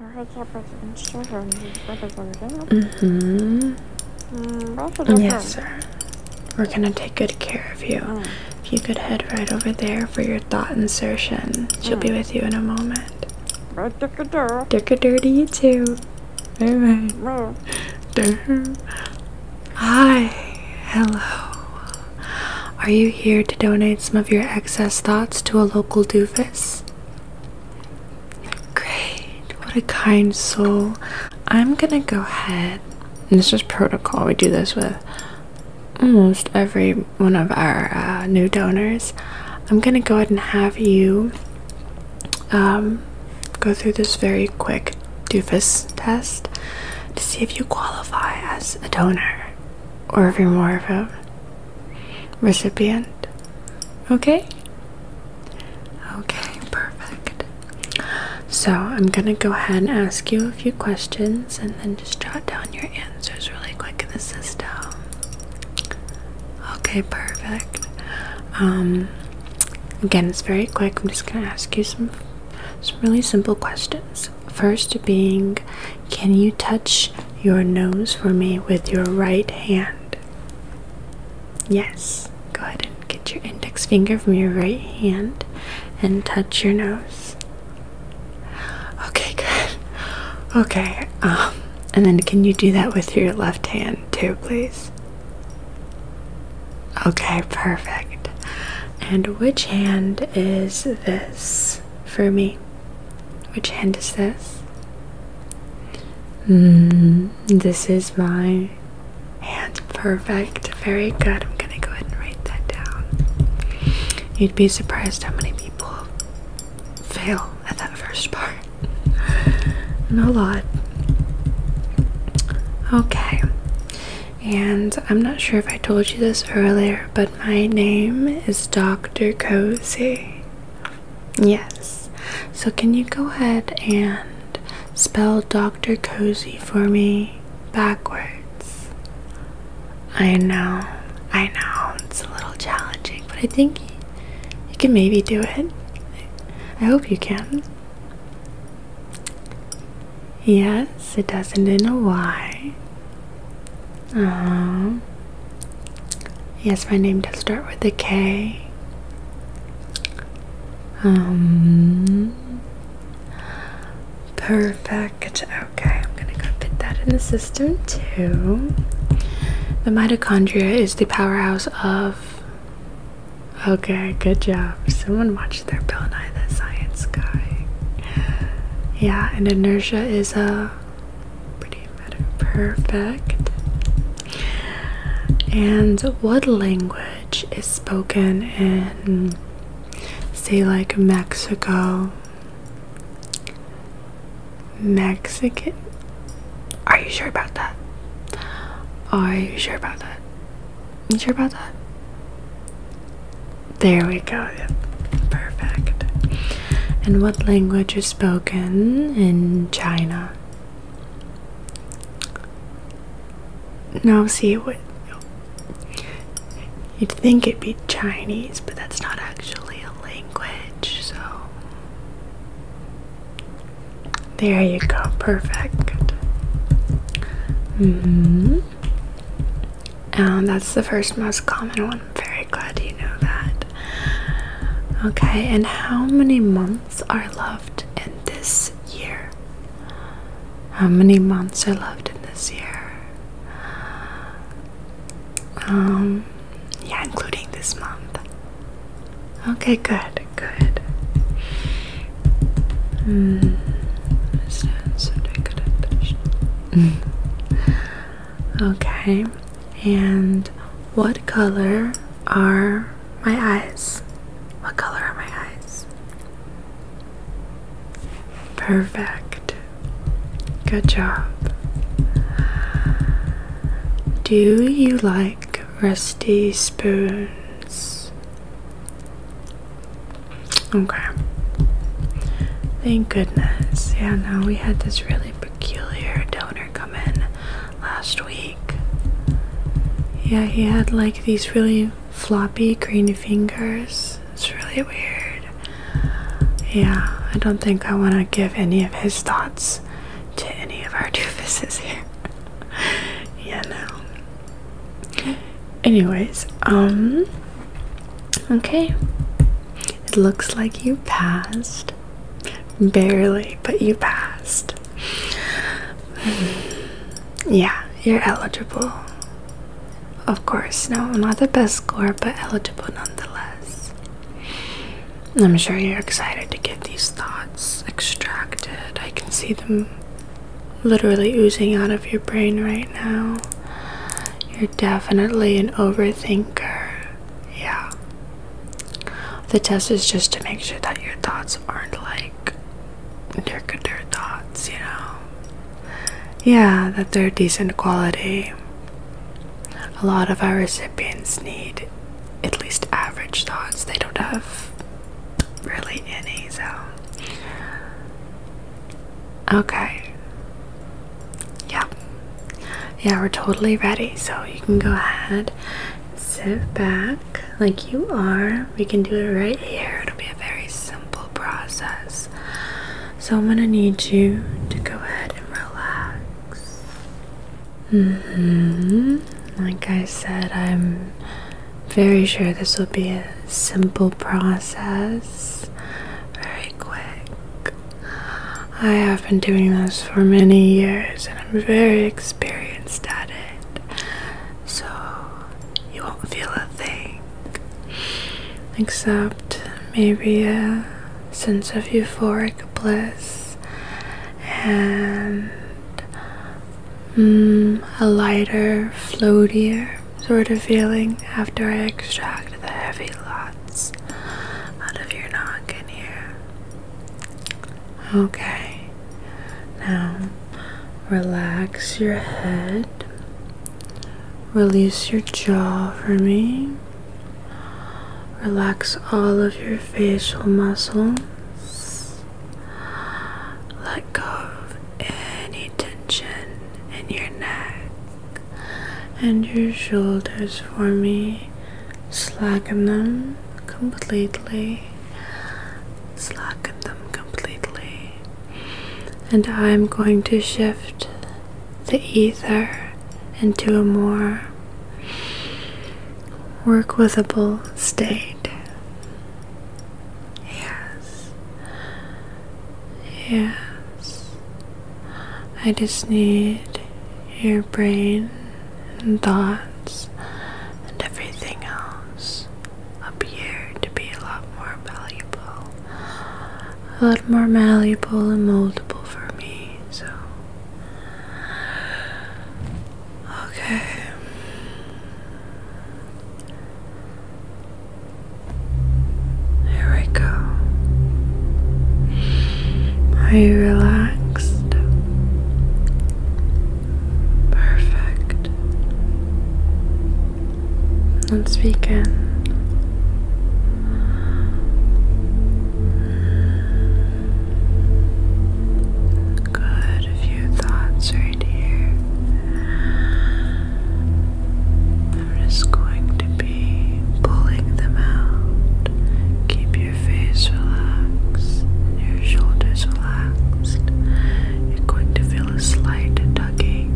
Mm hmm Yes, sir. We're gonna take good care of you. Mm. If you could head right over there for your thought insertion, she'll mm. be with you in a moment. Dick a dirty you too. Alright. Mm. Hi. Hello. Are you here to donate some of your excess thoughts to a local doofus? Great, what a kind soul. I'm gonna go ahead, and this is protocol, we do this with almost every one of our uh, new donors. I'm gonna go ahead and have you um, go through this very quick doofus test to see if you qualify as a donor or if you're more of a recipient. Okay? Okay, perfect. So I'm gonna go ahead and ask you a few questions and then just jot down your answers really quick in the system. Okay, perfect. Um again it's very quick. I'm just gonna ask you some some really simple questions. First being can you touch your nose for me with your right hand? Yes. Go ahead and get your index finger from your right hand and touch your nose. Okay, good. Okay. Um and then can you do that with your left hand too, please? Okay, perfect. And which hand is this for me? Which hand is this? Mm, this is my hand. Perfect. Very good. I'm gonna go ahead and write that down. You'd be surprised how many people fail at that first part. Not a lot. Okay. And I'm not sure if I told you this earlier, but my name is Dr. Cozy. Yes. So, can you go ahead and spell Dr. Cozy for me backwards? I know, I know, it's a little challenging, but I think you can maybe do it. I hope you can. Yes, it doesn't in a Y. Aww. Uh-huh. Yes, my name does start with a K. Um, perfect. Okay, I'm gonna go fit that in the system too. The mitochondria is the powerhouse of. Okay, good job. Someone watched their Bill Nye the Science Guy. Yeah, and inertia is a pretty matter perfect. And what language is spoken in, say, like Mexico? Mexican? Are you sure about that? Are you sure about that? You sure about that? There we go. Yeah. Perfect. And what language is spoken in China. Now see, what? You'd think it'd be Chinese, but that's not actually a language, so. There you go, perfect. Mm-hmm. And that's the first most common one. I'm very glad you know that. Okay, and how many months are left in this year? How many months are left in this year? Um, yeah, including this month. Okay, good, good. Hmm. Okay, and what color are my eyes? What color are my eyes? Perfect. Good job. Do you like rusty spoons? Okay. Thank goodness. Yeah, Now we had this really peculiar donor come in last week. Yeah, he had like these really floppy green fingers. It's really weird. Yeah, I don't think I want to give any of his thoughts to any of our two faces here. yeah, no. Anyways, um, okay. It looks like you passed. Barely, but you passed. Yeah, you're eligible. Of course, no, not the best score, but eligible nonetheless. I'm sure you're excited to get these thoughts extracted. I can see them literally oozing out of your brain right now. You're definitely an overthinker yeah. The test is just to make sure that your thoughts aren't like Dirkadir thoughts, you know? Yeah, that they're decent quality. A lot of our recipients need at least average thoughts. They don't have really any, so. Okay. Yeah. Yeah, we're totally ready. So you can go ahead sit back like you are. We can do it right here. It'll be a very simple process. So I'm going to need you to go ahead and relax. Mm-hmm. Like I said, I'm very sure this will be a simple process. Very quick. I have been doing this for many years and I'm very experienced at it. So you won't feel a thing. Except maybe a sense of euphoric bliss and mm, a lighter, floatier sort of feeling after I extract the heavy load out of your noggin here. Okay, now relax your head, release your jaw for me, relax all of your facial muscles, let go of any tension in your neck and your shoulders for me. Slacken them completely. Slacken them completely. And I'm going to shift the ether into a more workable state. Yes. Yes. I just need your brain and thoughts and everything else appear to be a lot more malleable. A lot more malleable and moldable for me, so. Okay. Here we go. Are you relaxed? Perfect. Let's begin. Good, a few thoughts right here. I'm just going to be pulling them out. Keep your face relaxed, your shoulders relaxed. You're going to feel a slight tugging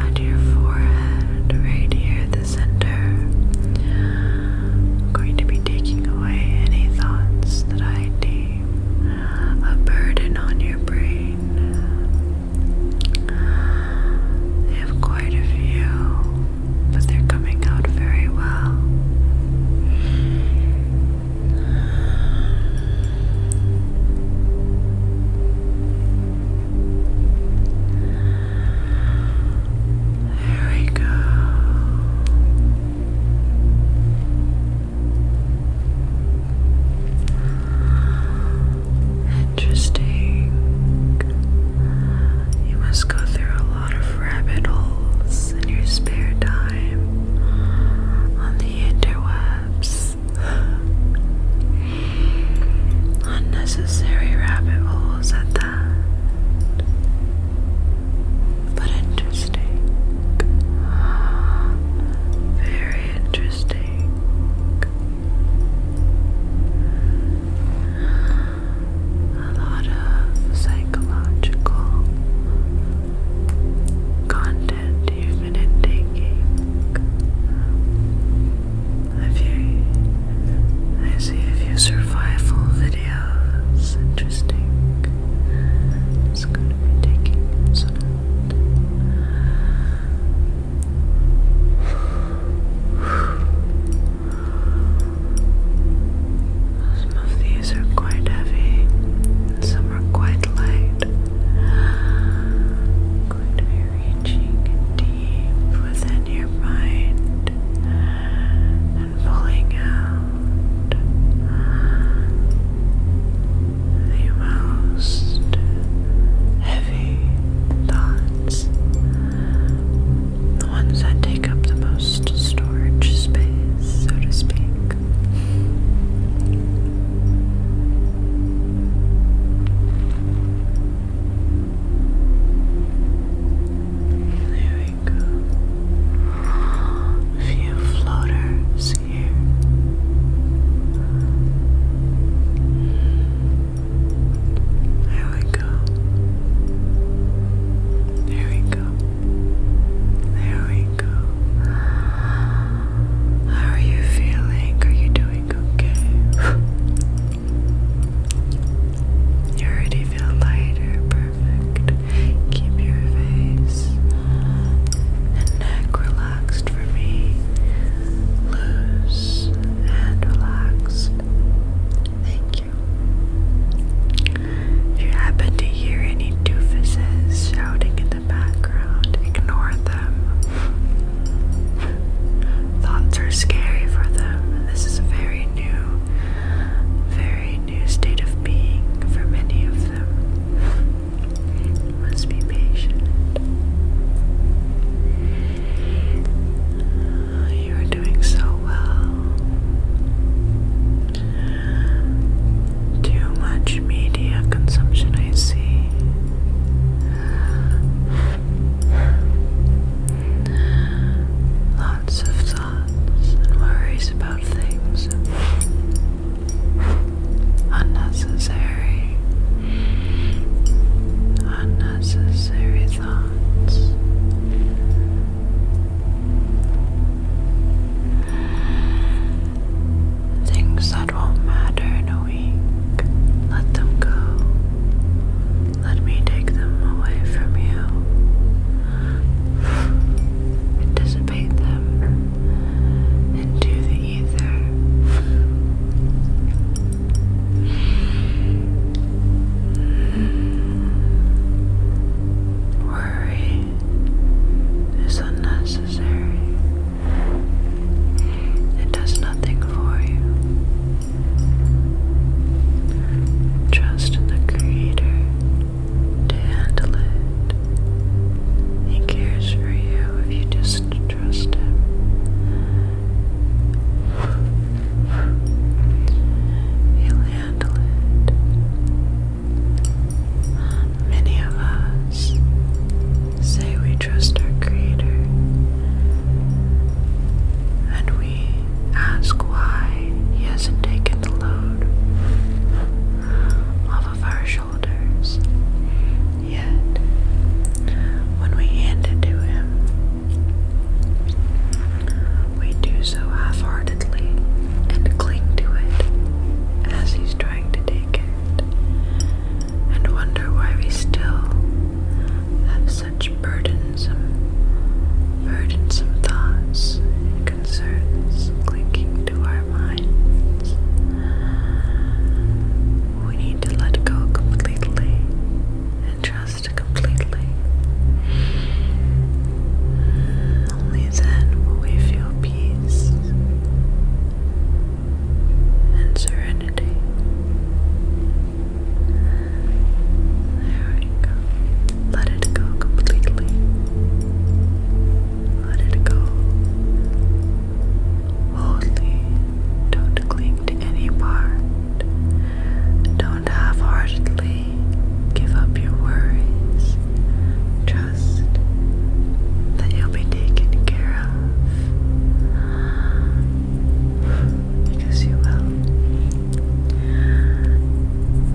at your forehead, right here at the center. I'm going to be taking away any thoughts that I deem a burden on your brain. They have quite a few but they're coming out very well. There we go. Interesting. You must go through a lot of rabbit holes in your spare time on the interwebs. Unnecessary rabbit holes at that. But interesting. Very interesting a lot of psychological content you've been taking. If you, I see a few survival videos, interesting. It's going to be taking some. Some of these are quite heavy, and some are quite light. Going to be reaching deep within your mind and pulling out the most heavy thoughts the ones that take up the most storage space, so to speak. There we go. few floaters here. There we go. There we go. There we go. How are you feeling? Are you doing okay? you already feel lighter. Perfect. Keep your face and neck relaxed for me. Loose and relaxed. Thank you. If you happen to hear any doofuses shouting in the background, ignore them. Thoughts are scary for them. This is a very new, very new state of being for many of them. must be patient. You are doing so well. Too much media consumption, I see. Lots of thoughts and worries about things. Unnecessary. Unnecessary thoughts. Things that won't matter in a week, let them go. Let me take them away from you. Anticipate them into the ether. Worry is unnecessary. It does nothing for you. Trust in the Creator to handle it. He cares for you if you just trust Him. He'll handle it. Many of us say we trust our Creator, and we ask why He hasn't taken the load off of our shoulders. Yet, when we hand it to Him, we do so half heartedly and cling to it as he's trying to take it, and wonder why we still have such burdensome, burdensome thoughts and concerns clinging to our minds. We need to let go completely and trust lost completely. Only then will we feel peace and serenity. There we go. Let it go completely. Let it go. Wholly. Don't cling to any part. Don't half heartedly give up your worries. Trust that you'll be taken care of. Because you will.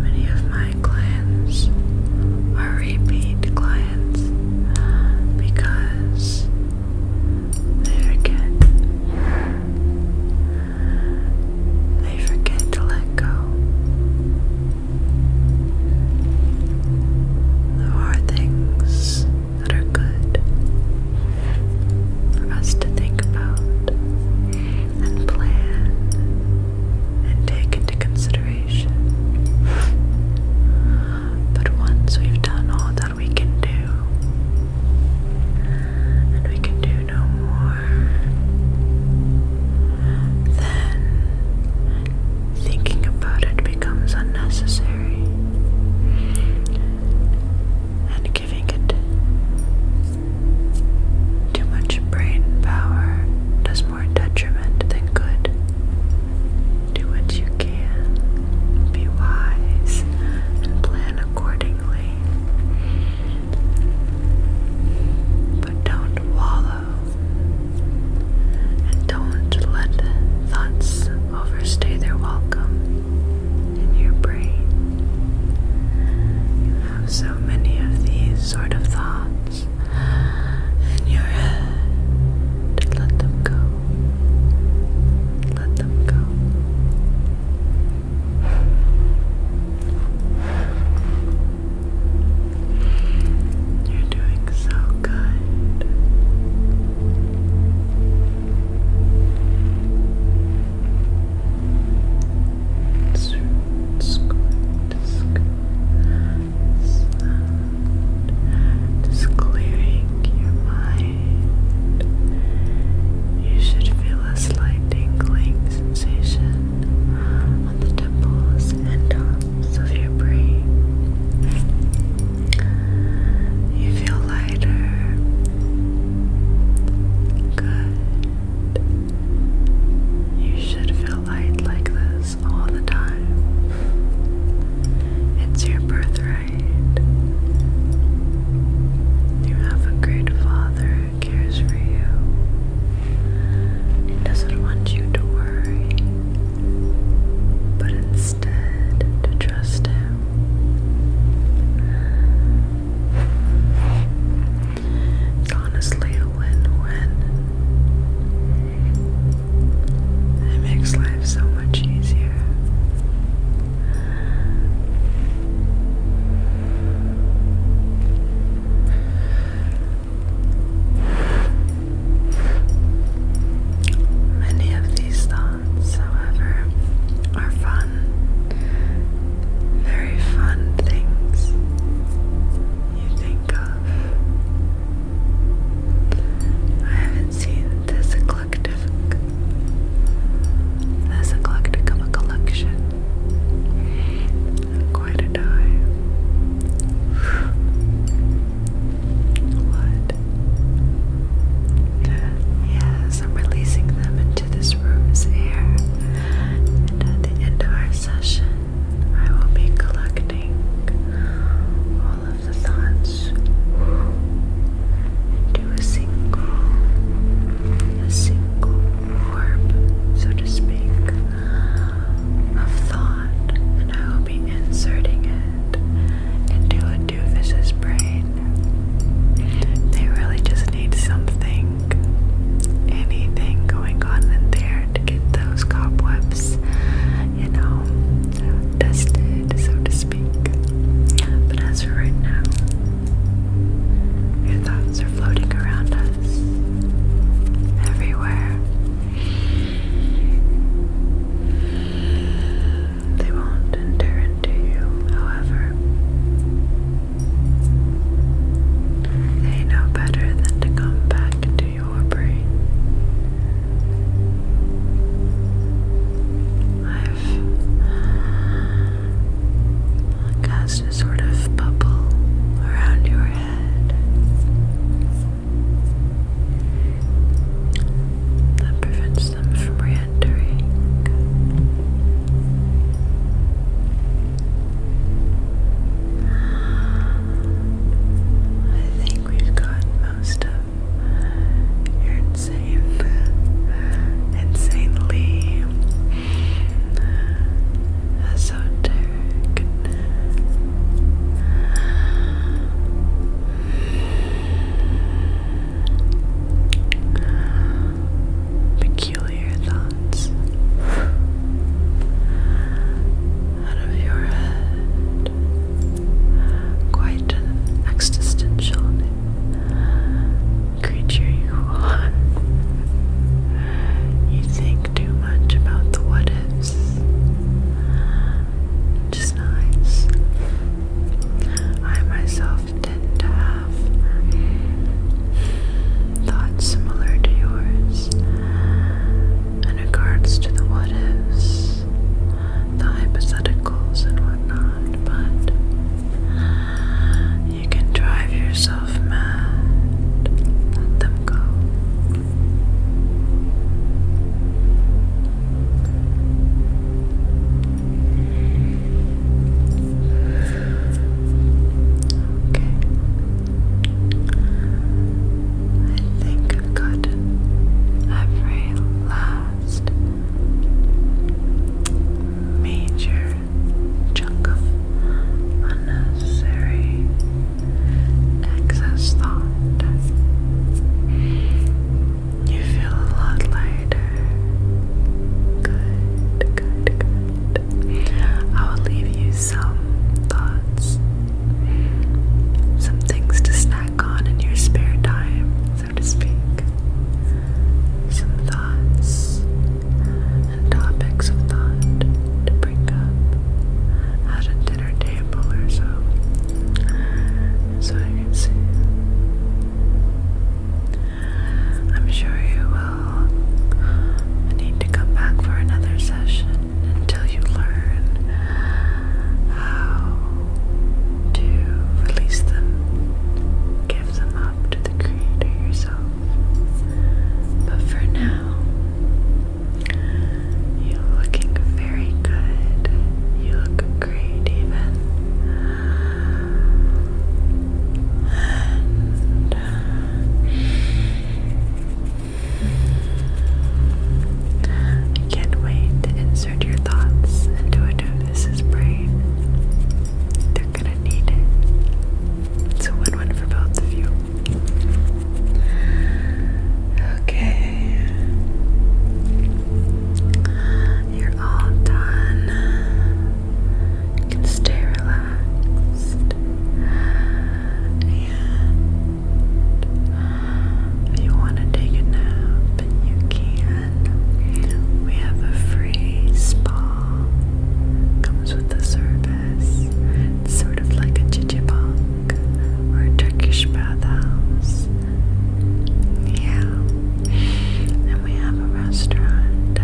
Many of my clients are repeat clients because they're again they forget to let go. There are things that are good for us to think about and plan and take into consideration. But once we've done all that what we can do, and we can do no more. Then thinking about it becomes unnecessary, and giving it too much brain power does more detriment than good. Do what you can, be wise, and plan accordingly. But don't wallow and don't let thoughts overstay their welcome in your brain. You have so many of these sort of thoughts in your head. Let them go. Let them go. You're doing so good. Squirt, clearing your mind. You should feel a slight tingling sensation on the temples and tops of your brain. You feel lighter. Good. You should feel light like this all the time. It's your birthright right. You have a great father who cares for you and doesn't want you to worry, but instead to trust him. It's honestly a win-win. It makes life so much easier. Many of these thoughts, however, are fun, very fun things you think of. I haven't seen this eclectic. Less eclectic of a collection. Quite a dive. What? Yes, I'm releasing them into this room's air. And at the end of our session, I will be collecting all of the thoughts a single, a single orb, so to speak, of thought, and I will be inserting it into a doofus's brain. They really just need something, anything going on in there to get those cobwebs, you know, dusted, so to speak. But as for right now, your thoughts are floating around us, everywhere. They won't enter into you, however. They know better than to come back into your brain. I've cast a sort of bubble around your head that prevents them from re entering. I think we've got most of your insanely esoteric. Peculiar thoughts out of your head, quite an existential creature you are. You think too much about the what ifs. Just nice. I myself tend to have thoughts similar to yours in regards to the what ifs, the hypotheticals, and whatnot, but you can drive yourself mad. Let them go. Okay. I think I've every last major chunk of unnecessary excess thought. You feel a lot lighter. Good, good, good. I will leave you some thoughts, some things to snack on in your spare time so to speak, some thoughts and topics of thought to bring up at a dinner table or so, so I can see. I'm sure you will need to come back for another session until you learn how to release them, give them up to the Creator yourself. But for now, you're looking very good. You look great, even. Uh, I can't wait to insert your thoughts into a novice's brain. They're gonna need it. It's a win win for both of you. Okay. You're all done. You can stay relaxed. And if you want to take a nap, you can we have a free spa. Comes with the service. sort of like a chichibang or a Turkish bathhouse. Yeah. And we have a restaurant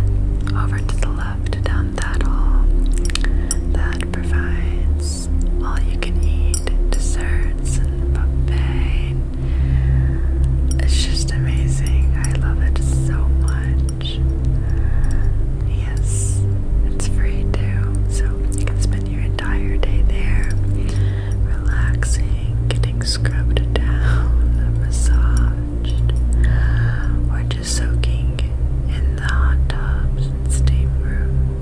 over to the left down that hall that provides all you can eat desserts and buffet it's just amazing. I love it so much. Yes, it's free too, so you can spend your entire day there relaxing, getting scrubbed down, massaged, or just soaking in the hot tubs and steam rooms.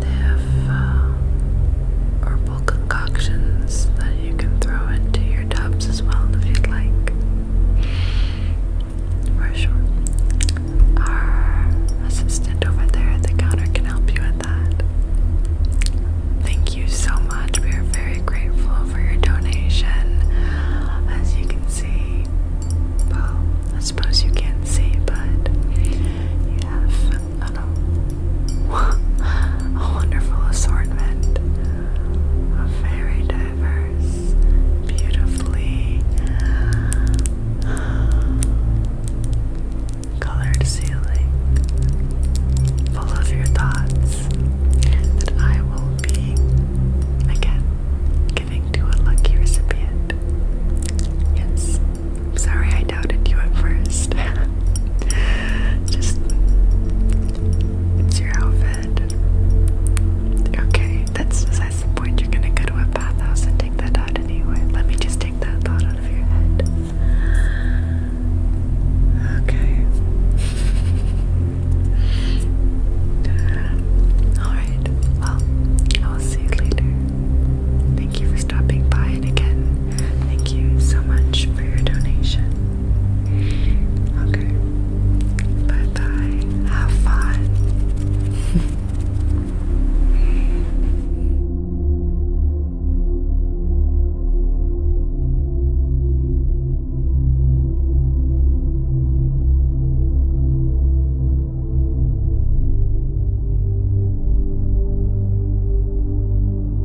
They uh, have concoctions that you can throw into your tubs as well if you'd like. For sure. Our assistant over there at the counter can help you with that. Thank you so much. We are very grateful for your donation. As you can see, well, I suppose you can't see, but you have a, wonderful assortment of very diverse, beautifully colored ceiling full of your thoughts that I will be again giving to a lucky recipient. Yes. sorry I doubted you at first. Just it's your outfit. Okay, that's besides the point. You're gonna go to a bathhouse and take that out anyway. Let me just take that thought out of your head. Okay. Alright, well, I'll see you later. Thank you for stopping by, again, Thank you so much for your donation. Okay. Bye bye. Have fun.